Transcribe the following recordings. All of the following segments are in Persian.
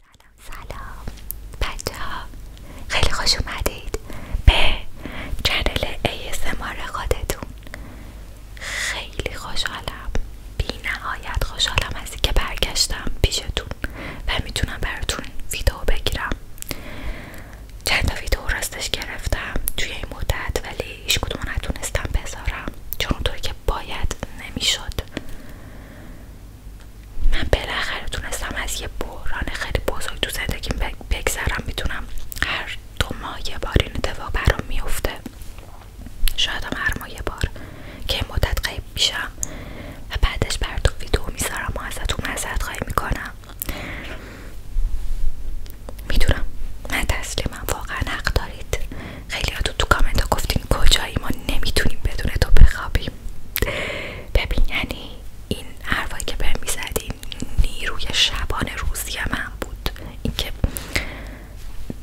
سلام سلام بچه ها خیلی خوش اومدید به چنل ASMR خودتون خیلی خوشحالم بی نهایت خوشحالم از که برگشتم پیشتون و میتونم براتون ویدیو بگیرم چند ویدو ویدیو راستش گرفتم توی این مدت ولی هیچ کدوم نتونستم بذارم چون که باید نمیشد من بالاخره تونستم از یه بحران خیلی بزرگ تو زندگیم بگذرم میتونم هر دو ماه یه بار این اتفاق برام میفته شاید هم هر ماه یه بار که مدت غیب میشم و بعدش براتون ویدیو میذارم و ازتون معذرت خواهی میکنم میدونم من تسلیمم واقعا حق دارید خیلی ها تو تو کامنت گفتین کجایی ما نمیتونیم بدون تو بخوابیم ببین یعنی این حرفایی که به میزدین نیروی شبان روزی من بود اینکه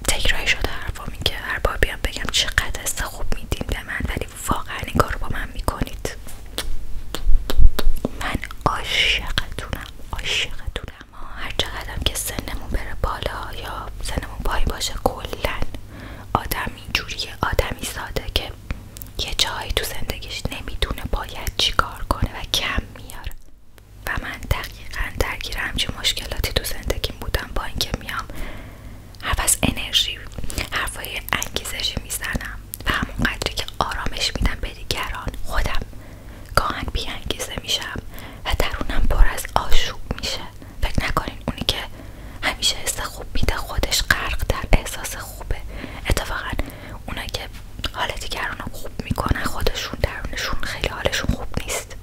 تکراری شده حرفام این که هر بار بیام بگم چقدر است خوب میدین به من ولی واقعا این کار رو با من میکنید من عاشقتونم عاشقتونم هر چقدرم که سنمون بره بالا یا سن دهنمون باشه کلا آدم اینجوریه آدمی ساده که یه جایی تو زندگیش نمیدونه باید چیکار کنه و کم میاره و من دقیقا درگیر همچین مشکلاتی تو زندگیم بودم با اینکه میام حرف از انرژی حرفای انگیزشی میزنم و همون قدری که آرامش میدم به دیگران خودم گاهن بیانگیزه میشم و درونم پر از آشوب میشه فکر نکنین اونی که همیشه حس خوب میده خودش غرق در احساس خوبه اتفاقا اونا که حال دیگران رو خوب میکنن خودشون درونشون خیلی حالشون خوب نیست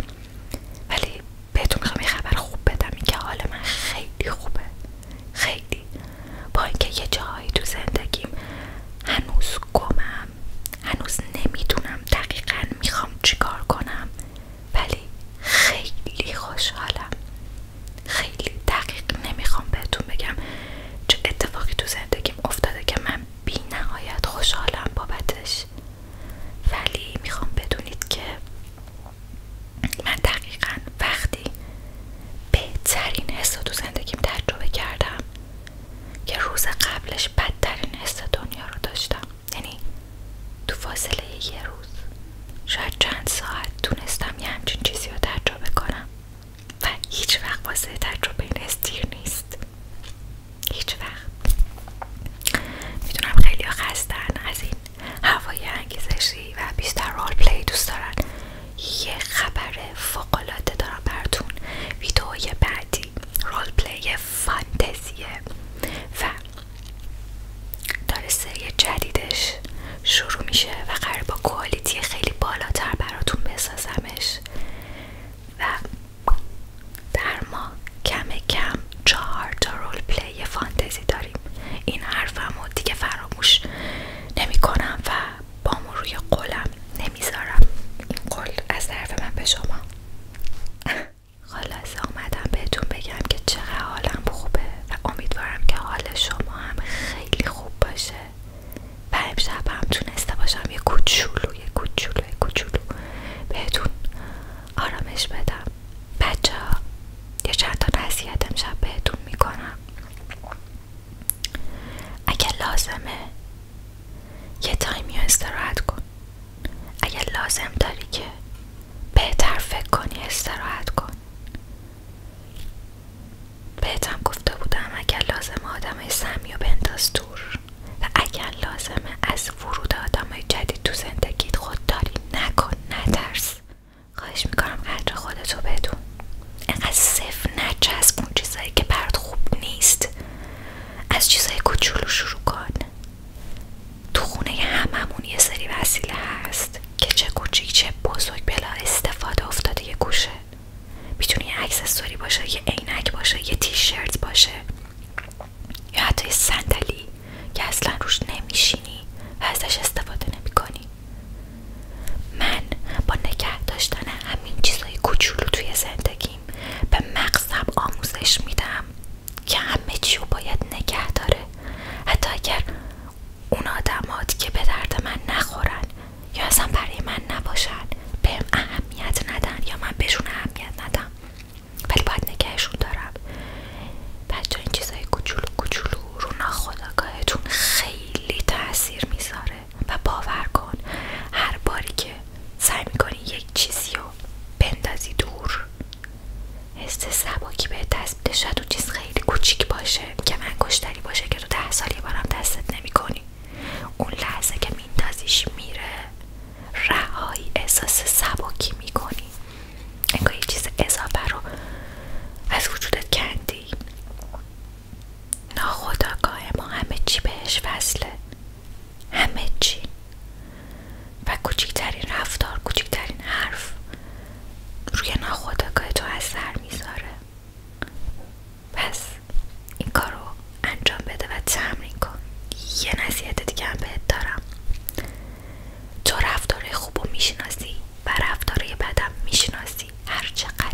ولی بهتون میخوام یه خبر خوب بدم این که حال من خیلی خوبه خیلی با اینکه یه جاهایی تو زندگیم هنوز گمم هنوز نمیدونم دقیقا میخوام چیکار کنم ولی خیلی خوشحالم خیلی دقیق نمیخوام بهتون بگم چه اتفاقی تو زندگیم افتاده که من بی نهایت خوشحالم بابتش ولی میخوام بدونید که من دقیقا وقتی بهترین حس تو زندگیم تجربه کردم که روز قبلش بدترین حس دنیا رو داشتم یعنی تو فاصله یه روز شاید چند ساعت تونستم یه همچین چیزی رو تجربه کنم و هیچ وقت واسه تجربه این استیر نیست هیچ وقت میدونم خیلی خستن از این هوای انگیزشی و بیشتر رول پلی دوست دارن یه خبر العاده دارم براتون ویدئوی بعدی رول پلی فانتزیه و داره سری جدیدش شروع میشه و قرار با کوالیتی خیلی بالاتر براتون بسازمش و در ما کم کم چهار تا رول پلی فانتزی داریم این حرفمو دیگه فراموش نمیکنم و بامو روی قلم نمیذارم این قول از طرف من به شما خلاصه آمدم بهتون بگم که چقدر حالم خوبه و امیدوارم که حال شما هم خیلی خوب باشه و امشب هم تونسته باشم یه کوچولو یه کوچولو یه کوچولو بهتون آرامش بدم بچه ها یه چند تا امشب بهتون میکنم اگه لازمه یه تایمی استراحت کن اگه لازم داری که بهتر فکر کنی استراحت کن بهتم گفته بودم اگر لازم آدمای سمی و بنداز دور و اگر لازمه از ورود آدمای جدید تو زندگیت خودداری نکن نترس خواهش میکنم قدر خودتو بدون اینقدر صفر نچسب اون چیزایی که برات خوب نیست از چیزای کوچولو شروع کن تو خونه هممون یه سری وسیله هست که چه کوچیک چه بزرگ بلا استفاده افتاده یه گوشه میتونی یه اکسسوری باشه یه عینک باشه یه تیشرت باشه یا حتی یه صندلی که اصلا روش نمیشینی و ازش استفاده نمیکنی من با نگه داشتن همین چیزای کوچولو توی زندگی به مقصب آموزش میدم که همه چیو باید نگه داره حتی اگر اون آدمات که به درد من نخورن یا اصلا برای من نباشن بهم اهمیت ندن یا من بهشون اهمیت ندم ولی باید نگهشون دارم بچه این چیزای کوچولو کوچولو رو ناخودآگاهتون خیلی تاثیر میذاره و باور کن هر باری که سعی میکنی یک چیزی رو بندازی دور حس سباکی به دست شد و چیز خیلی کوچیک باشه که انگشتری باشه که تو ده سال یه بارم دستت نمیکنی اون لحظه که میندازیش میره رهایی احساس سباکی میکنی انگار یه چیز اضافه رو از وجودت کندی ناخداگاه ما همه چی بهش وصله همه چی و کوچکترین رفتار کوچکترین حرف روی ناخداگاه تو اثر میذاره پس این کارو انجام بده و تمرین کن یه نصیحت دیگه هم بهت دارم تو رفتاره خوبو میشناسی و رفتاره بدم میشناسی هر چقدر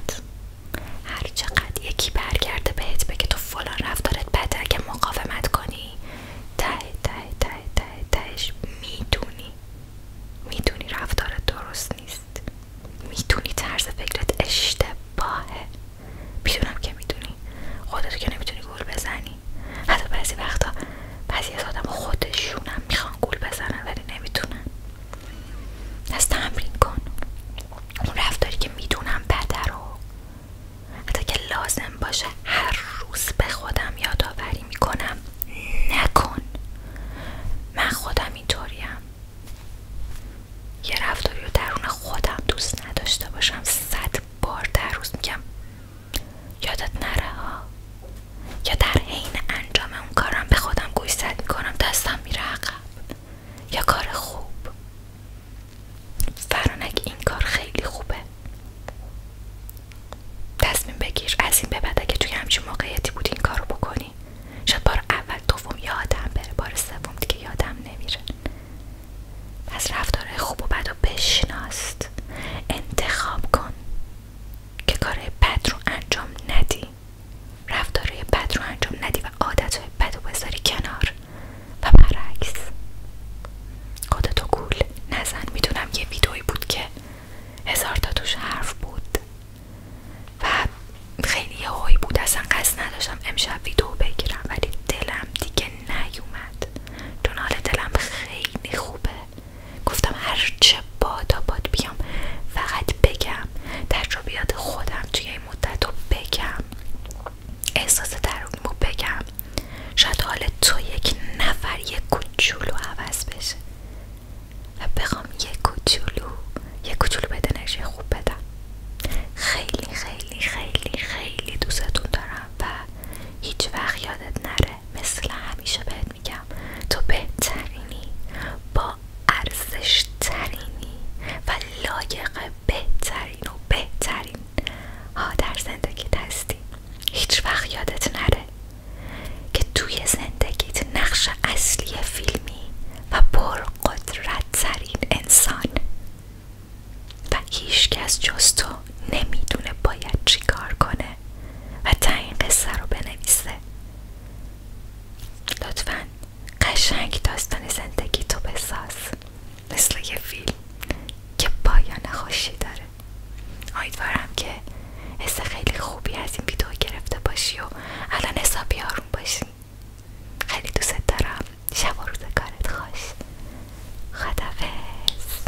هر چقدر یکی برگرده بهت بگه تو فلان رفتارت بده که مقاومت کنی ده ده ته ته تهش میدونی میدونی رفتارت درست نیست میدونی طرز فکرت اشتباهه میدونم که میدونی خودتو که نمیتونی گول بزنی حتی بعضی وقتا بعضی از آدم خودشونم میخوان گول بزنن ولی نمیتونن از تمرین کن اون رفتاری که میدونم بده رو حتی که لازم باشه هر روز به خودم یادآوری میکنم نکن من خودم اینطوریام یه رفتاری رو درون خودم دوست نداشته باشم صد بار در روز میگم یادت نره ها یا در عین انجام اون کارم به خودم گوشزد میکنم دستم آدم میره عقب یا کار خوب فرانگه این کار خیلی خوبه تصمیم بگیر از این به بعد که توی همچین موقعیتی بودی این کارو بکنی شاید بار اول دوم یادم بره بار سوم دیگه یادم نمیره از رفتار خوب و بد و بشناست انتخاب کن که کار بد رو انجام ندی رفتار رفتارهای بد رو انجام ندی و عادتهای بد رو بذاری کنار و برعکس خودتو گول نزن میدونم یه ویدئویی بود که هزار تا توش حرف بود و خیلی هایی بود اصلا قصد نداشتم امشب ویدو بگیرم ولی دلم دیگه نیومد چون حال دلم خیلی خوبه گفتم هر چه بادا باد بیام فقط بگم بیاد خودم توی این مدت رو بگم احساس دروغ رو بگم شاید حال تو یک نفر یک کوچولو عوض بشه و بخوام یک کوچولو یک کوچولو بده خوب بدم خیلی خیلی خیلی خیلی دوستتون دارم و هیچ وقت یادت نره مثل همیشه بهت میگم تو بهترینی با ارزش و لایق بهترین و بهترین ها در زندگیت هستی هیچ وقت یادت نره که توی زندگیت نقش اصلی فیلمی و پرقدرت ترین انسان و هیچ کس جز تو نمیدونه باید چیکار کنه و تعیین قصه رو بنویسه لطفا قشنگ داستان زندگی تو بساز مثل یه فیلم که پایان خوشی داره امیدوارم که حس خیلی خوبی از این ویدیو گرفته باشی و الان حسابی آروم باشی خیلی دوست دارم شب و روز کارت خوش خدافظ